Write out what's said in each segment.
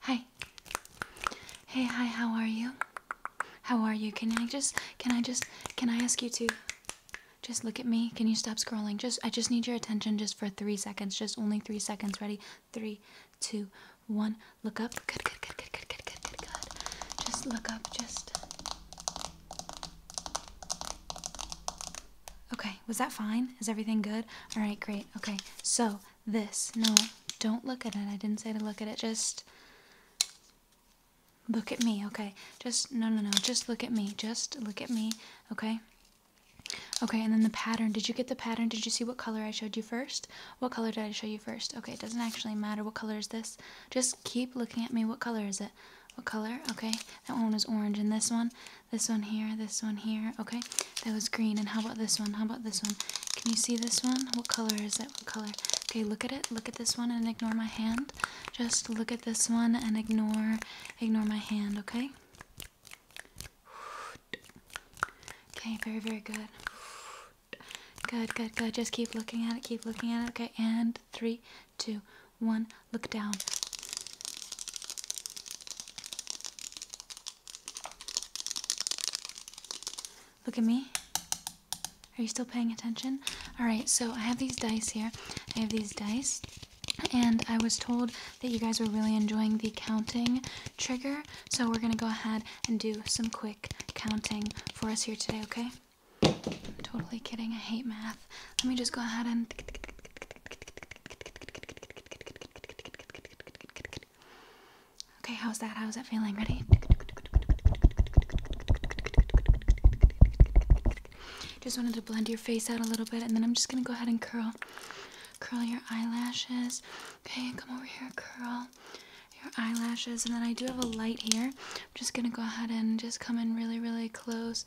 Hi. Hey, hi. How are you? How are you? Can I just can I just can I ask you to just look at me? Can you stop scrolling? Just I just need your attention just for 3 seconds. Just only 3 seconds. Ready? Three, two, one. Look up. Good, good, good, good, good, good, good, good, Just look up. Just Okay was that fine? Is everything good? All right, great. Okay, so this. No, don't look at it. I didn't say to look at it. Just look at me, okay? Just, no, no, no. Just look at me. Just look at me, okay? Okay, and then the pattern. Did you get the pattern? Did you see what color I showed you first? What color did I show you first? Okay, it doesn't actually matter. What color is this? Just keep looking at me. What color is it? What color? Okay, that one is orange, and this one this one here, this one here. Okay, that was green. And how about this one? How about this one? Can you see this one? What color is it? What color? Okay, look at it. Look at this one and ignore my hand. Just look at this one and ignore, ignore my hand. Okay. Okay, very, very good. Good, good, good. Just keep looking at it. Keep looking at it. Okay, and three, two, one. Look down. Look at me. Are you still paying attention? Alright, so I have these dice here. I have these dice. And I was told that you guys were really enjoying the counting trigger. So we're going to go ahead and do some quick counting for us here today, okay? I'm totally kidding. I hate math. Let me just go ahead and Okay, how's that? How's that feeling? Ready? Just wanted to blend your face out a little bit, and then I'm just gonna go ahead and curl, curl your eyelashes. Okay, come over here, curl your eyelashes, and then I do have a light here. I'm just gonna go ahead and just come in really, really close.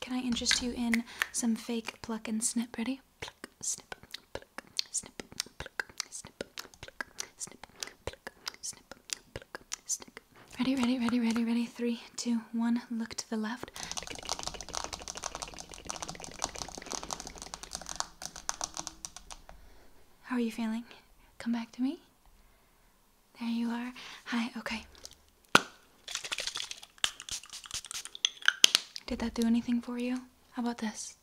Can I interest you in some fake pluck and snip? Ready? Pluck, snip, pluck, snip, pluck, snip, pluck, snip, pluck, snip, pluck, snip. Ready, ready, ready, ready, ready. Three, two, one. Look to the left. How are you feeling? Come back to me. There you are. Hi, okay. Did that do anything for you? How about this?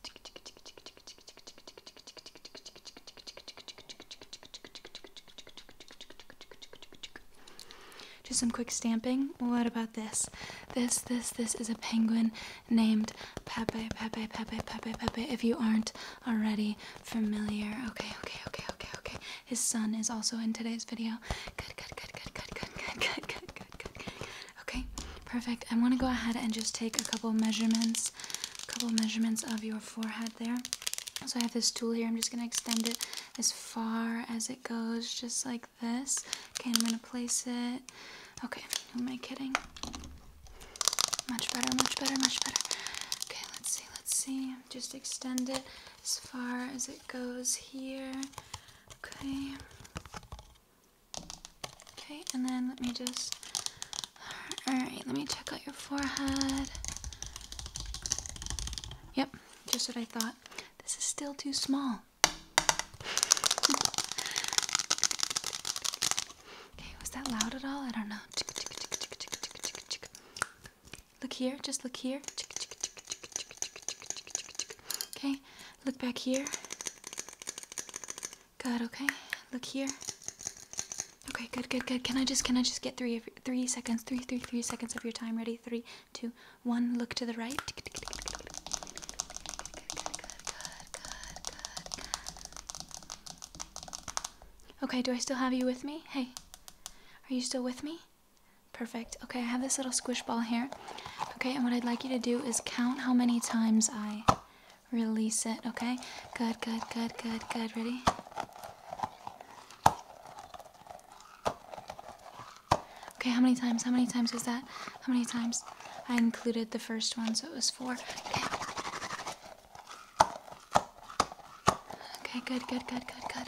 Just some quick stamping. What about this? This, this, this is a penguin named Pepe, Pepe, Pepe, Pepe, Pepe, if you aren't already familiar. Okay, okay, okay, okay, okay. His son is also in today's video. Good, good, good, good, good, good, good, good, good, good, good. Okay, perfect. I want to go ahead and just take a couple measurements, a couple measurements of your forehead there. So I have this tool here. I'm just going to extend it as far as it goes, just like this. Okay, I'm going to place it. Okay, who am I kidding? Much better, much better, much better. Okay, let's see, let's see. Just extend it as far as it goes here. Okay. Okay, and then let me just. Alright, let me check out your forehead. Yep, just what I thought. This is still too small. Okay, was that loud at all? I don't know. Look here, just look here. Okay, look back here. Good, okay. Look here. Okay, good, good, good. Can I just, can I just get three, three seconds, three, three, three seconds of your time? Ready? Three, two, one. Look to the right. Okay, do I still have you with me? Hey, are you still with me? Perfect. Okay, I have this little squish ball here. Okay, and what I'd like you to do is count how many times I release it, okay? Good, good, good, good, good. Ready? Okay, how many times? How many times was that? How many times? I included the first one, so it was four. Okay. Okay, good, good, good, good, good.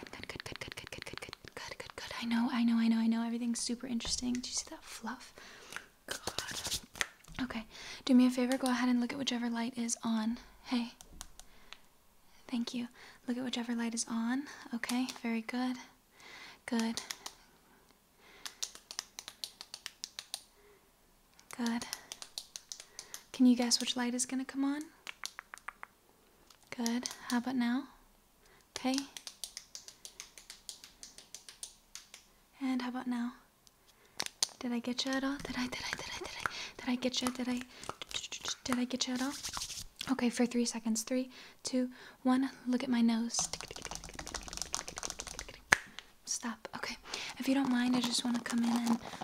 Good, good, good, good, good, good, good, good, good, good, good. I know, I know, I know, I know. Everything's super interesting. Do you see that fluff? God. Okay. Do me a favor. Go ahead and look at whichever light is on. Hey. Thank you. Look at whichever light is on. Okay. Very good. Good. Good. Can you guess which light is going to come on? Good. How about now? Okay. And how about now? Did I get you at all? Did I, did I, did I, did I, did I get you? Did I, did I get you at all? Okay, for three seconds. Three, two, one. Look at my nose. Stop. Okay. If you don't mind, I just want to come in and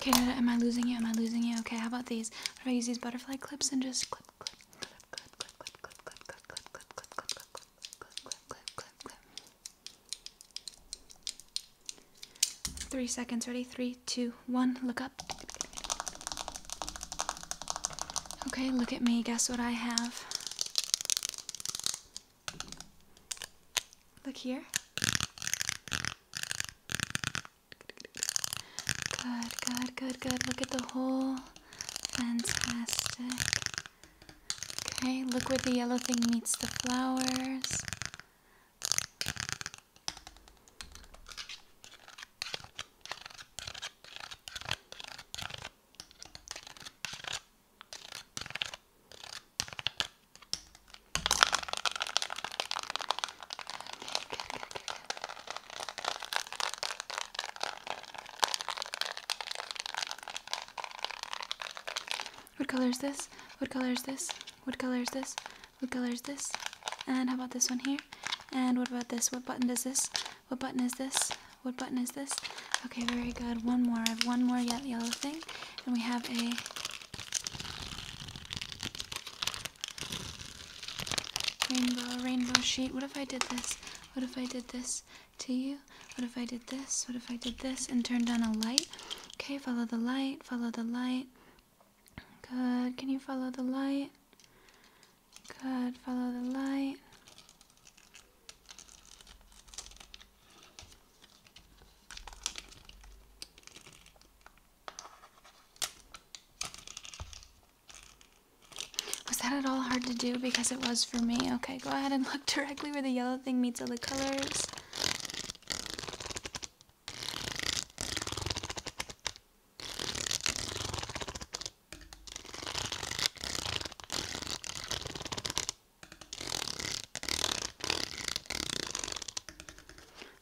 Okay, no, am I losing you? Am I losing you? Okay, how about these? What if I use these butterfly clips and just clip, clip, clip, clip, clip, clip, clip, clip, clip, clip, clip, clip, clip, clip, clip, clip, clip, clip. Three seconds. Ready? Three, two, one. Look up. Okay, look at me. Guess what I have? Look here. Good, good, good, good. Look at the whole. Fantastic. Okay, look where the yellow thing meets the flowers. What color is this? What color is this? What color is this? What color is this? And how about this one here? And what about this? What button is this? What button is this? What button is this? Okay, very good. One more. I have one more yellow thing. And we have a rainbow, rainbow sheet. What if I did this? What if I did this to you? What if I did this? What if I did this and turned on a light? Okay, follow the light, follow the light. Good. Can you follow the light? Good. Follow the light. Was that at all hard to do? Because it was for me. Okay, go ahead and look directly where the yellow thing meets all the colors.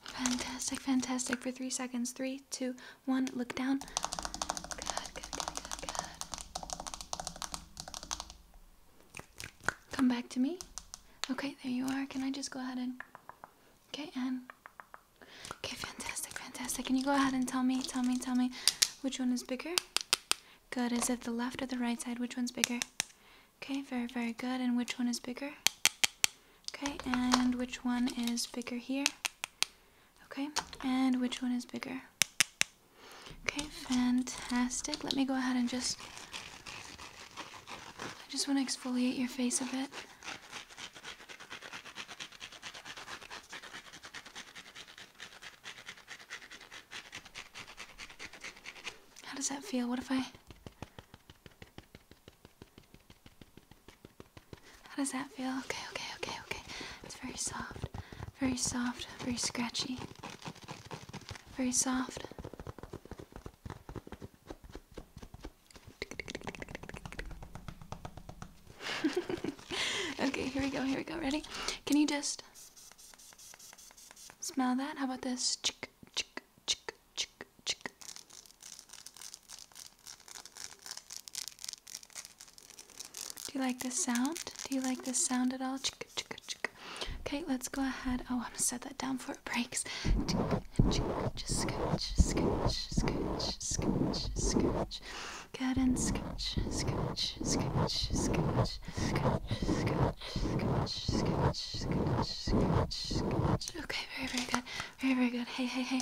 Fantastic, fantastic. For three seconds. Three, two, one. Look down. Come back to me. Okay, there you are. Can I just go ahead and. Okay, and. Okay, fantastic, fantastic. Can you go ahead and tell me, tell me, tell me which one is bigger? Good. Is it the left or the right side? Which one's bigger? Okay, very, very good. And which one is bigger? Okay, and which one is bigger here? Okay, and which one is bigger? Okay, fantastic. Let me go ahead and just... I just want to exfoliate your face a bit. How does that feel? What if I... How does that feel? Okay, okay, okay, okay. It's very soft. Very soft, very scratchy. Very soft. okay, here we go, here we go. Ready? Can you just smell that? How about this? chick, chick, chick, chick. Do you like this sound? Do you like this sound at all? Chick, chick, chick. Okay, let's go ahead. Oh, I'm gonna set that down for it breaks. Just scooch, scooch, scooch, scooch, scooch. Good and scooch, scooch, scooch, scooch, Okay, very, very good. Very, very good. Hey, hey, hey.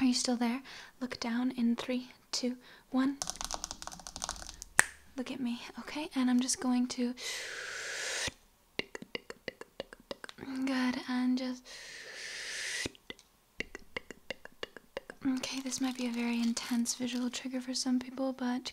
Are you still there? Look down in three, two, one. Look at me, okay? And I'm just going to. Good, and just. Okay, this might be a very intense visual trigger for some people, but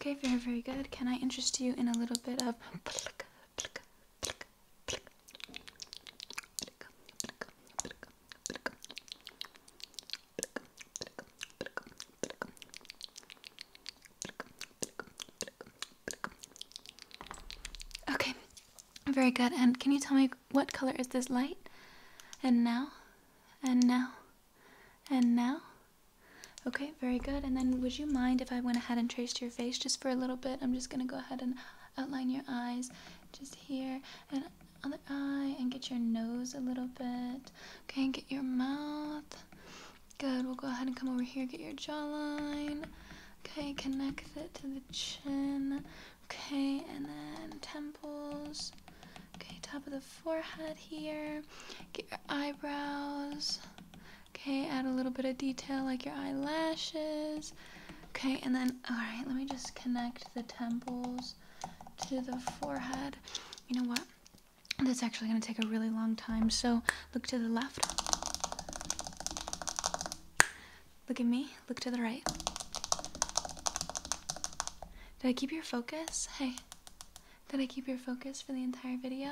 Okay, very, very good. Can I interest you in a little bit of Okay, very good. And can you tell me what color is this light? And now, and now, and now. Okay, very good. And then would you mind if I went ahead and traced your face just for a little bit? I'm just going to go ahead and outline your eyes just here and other eye and get your nose a little bit. Okay, get your mouth. Good. We'll go ahead and come over here, get your jawline. Okay, connect it to the chin. Okay, and then temples. Okay, top of the forehead here. Get your eyebrows. Okay, add a little bit of detail like your eyelashes. Okay, and then, alright, let me just connect the temples to the forehead. You know what? That's actually going to take a really long time. So look to the left. Look at me. Look to the right. Did I keep your focus? Hey. Did I keep your focus for the entire video?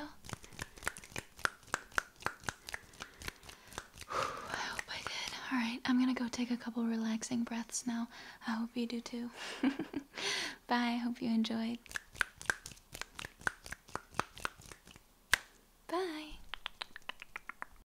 I hope I did. Alright, I'm gonna go take a couple relaxing breaths now. I hope you do too. Bye. Hope you enjoyed. Bye.